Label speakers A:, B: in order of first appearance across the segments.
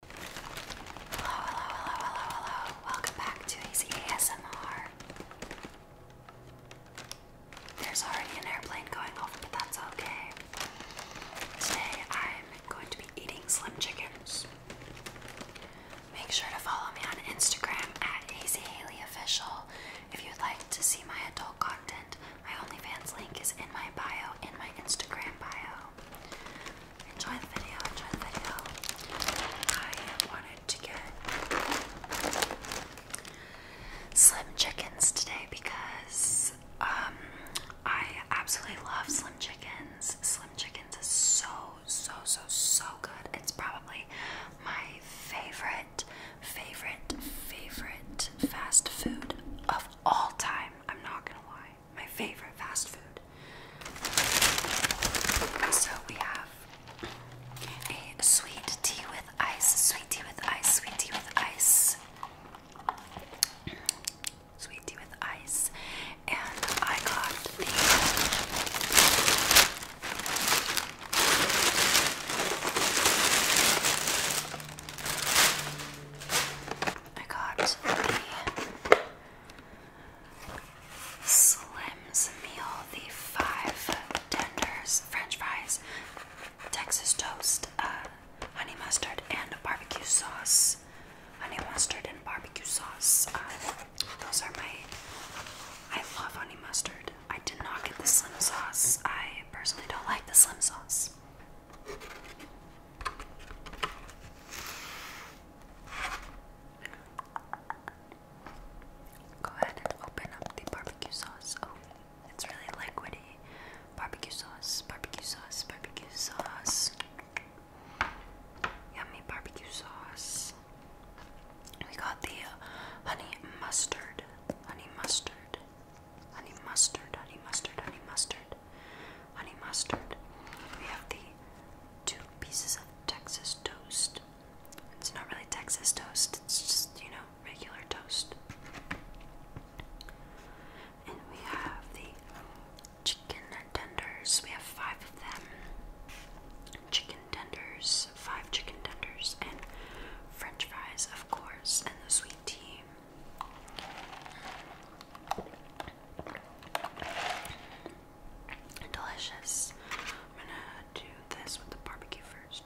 A: Hello, hello, hello, hello, hello. Welcome back to Easy ASMR. There's already an airplane going off, but that's okay. Today I'm going to be eating Slim Chickens. Make sure to follow me on Instagram at AzyHaleyOfficial if you'd like to see my adult content. My OnlyFans link is in my bio, in my Instagram bio. Enjoy the video, enjoy the video. I wanted to get Slim Chickens today because um, I absolutely love Slim Chickens. Slim Chickens is so, so, so, so good. It's probably my favorite, favorite, favorite fast food of all time. I'm not gonna lie my favorite fast food. So we have a sweet tea with ice, sweet tea with ice, sweet tea with ice, sweet tea with ice, and I got the I got the Slim's meal, the five tenders, French fries, Texas toast, uh, honey mustard, and barbecue sauce. Honey mustard and barbecue sauce. Uh, those are my. I love honey mustard. I did not get the slim sauce. I personally don't like the slim sauce. Go ahead and open up the barbecue sauce. Oh, it's really liquidy. Barbecue sauce, barbecue sauce, barbecue sauce. Yummy barbecue sauce. We got the honey mustard, honey mustard, honey mustard, honey mustard, honey mustard mustard. Honey mustard. We have the two pieces of Texas toast. It's not really Texas toast, it's just, you know, regular toast. And we have the chicken tenders. We have five of them. Chicken tenders, five chicken tenders, and french fries, of course, and the sweet tea. Delicious. I'm gonna do this with the barbecue first.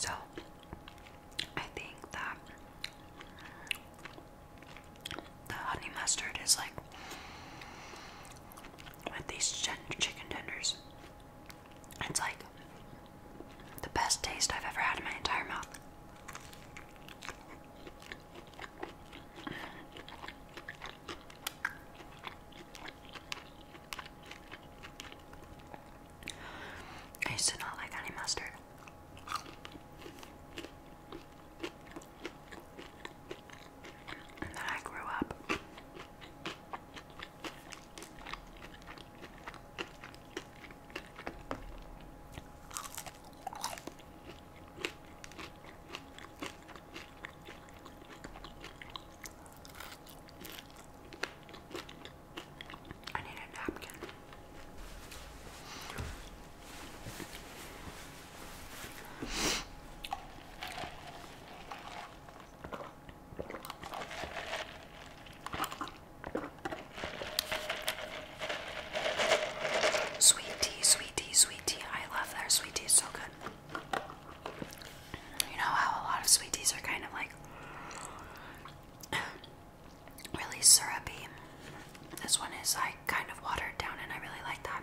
A: So I think that the honey mustard is like with these chicken tenders. It's like the best taste I've ever had in my entire mouth. I used to not like honey mustard. And then I grew up. I need a napkin. Sweet tea, sweet tea, sweet tea. I love their sweet tea, so good. You know how a lot of sweet teas are kind of like really syrupy. This one is like kind of watered down, and I really like that.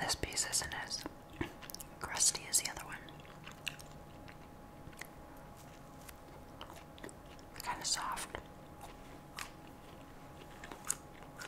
A: This piece isn't as crusty as the other one. Kind of soft.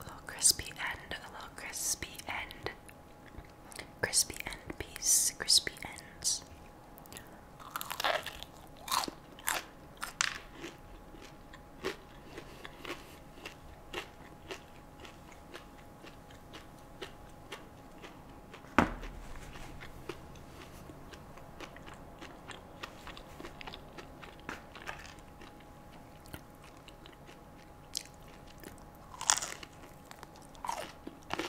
A: A little crispy end, a little crispy end. Crispy end piece, crispy ends.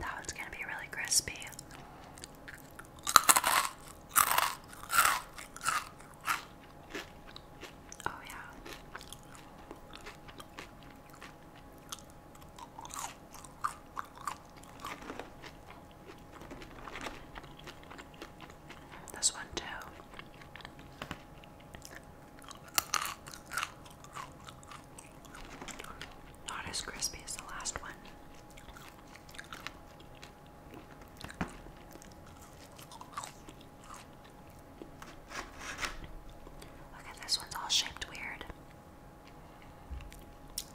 A: That one's gonna be really crispy. Oh, yeah. This one, too. Not as crispy as the last one. Look at this one's all shaped weird.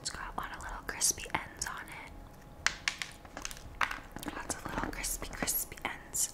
A: It's got a lot of little crispy ends on it. Lots of little crispy, crispy ends.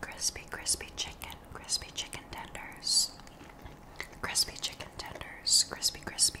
A: Crispy, crispy chicken, crispy chicken tenders, crispy chicken tenders, crispy, crispy.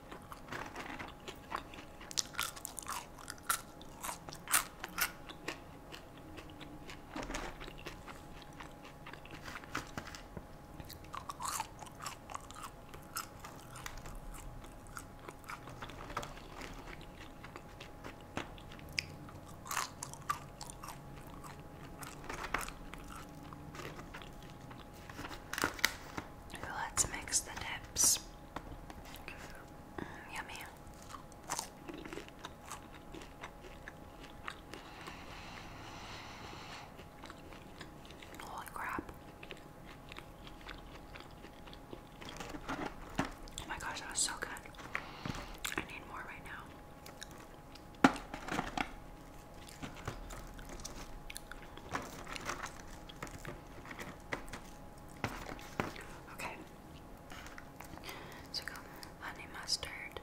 A: Let's mix the dips yummy. Holy crap. Oh my gosh, that was so good. I need more right now. Okay. So we honey mustard.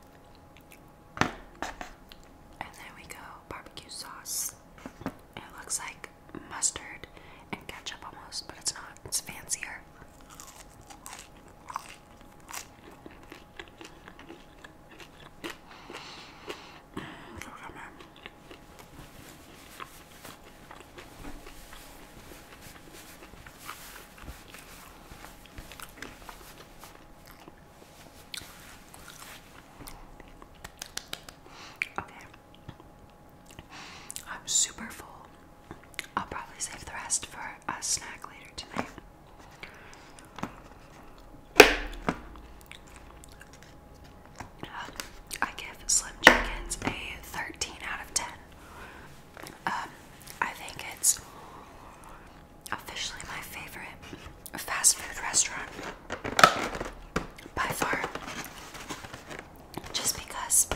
A: And then we go barbecue sauce. it looks like mustard and ketchup almost, but it's not. It's fancier. Mm, Okay. I'm super full. I'll probably save the rest for a snack later tonight. I give Slim Chickens a 13 out of 10. Um, I think it's officially my favorite fast food restaurant by far. Just because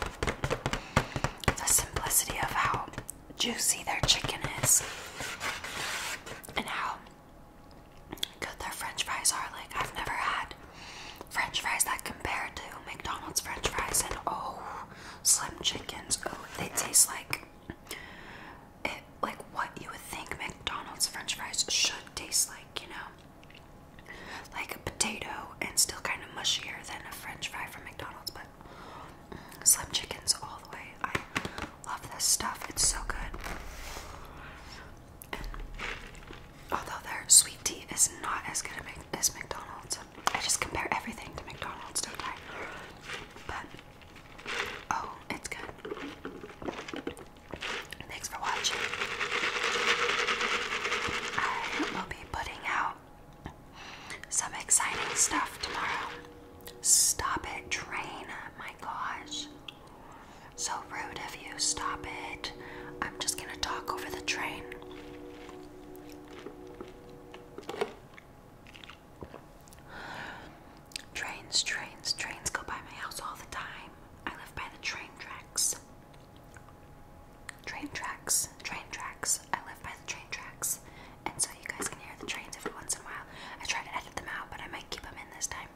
A: the simplicity of how juicy their chicken is and how good their french fries are. Like, I've never had french fries that compare to McDonald's french fries. And oh, Slim Chickens. Oh, they taste like like what you would think McDonald's french fries should taste like, you know? Like a potato and still kind of mushier than a french fry from McDonald's, but. Mm, Slim chickens all the way. I love this stuff. It's so good although their sweet tea is not as good as McDonald's, I just compare everything to McDonald's, don't I? But oh, it's good. Thanks for watching. I will be putting out some exciting stuff tomorrow. Stop it, train. My gosh. So rude of you, stop it. I'm just gonna talk over the train. Trains, trains, trains go by my house all the time. I live by the train tracks. Train tracks, train tracks. I live by the train tracks. And so you guys can hear the trains every once in a while. I try to edit them out, but I might keep them in this time.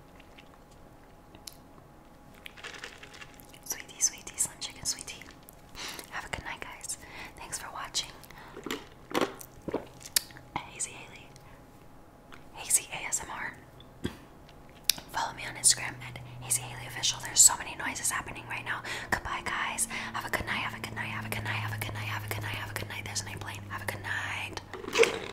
A: Sweetie, sweetie, slim chicken, sweetie. Have a good night, guys. Thanks for watching. Hazy Haley. Hazy ASMR. Follow me on Instagram at Hazy Haley Official. There's so many noises happening right now. Goodbye, guys. Have a good night. Have a good night. Have a good night. Have a good night. Have a good night. Have a good night. There's an airplane. Have a good night.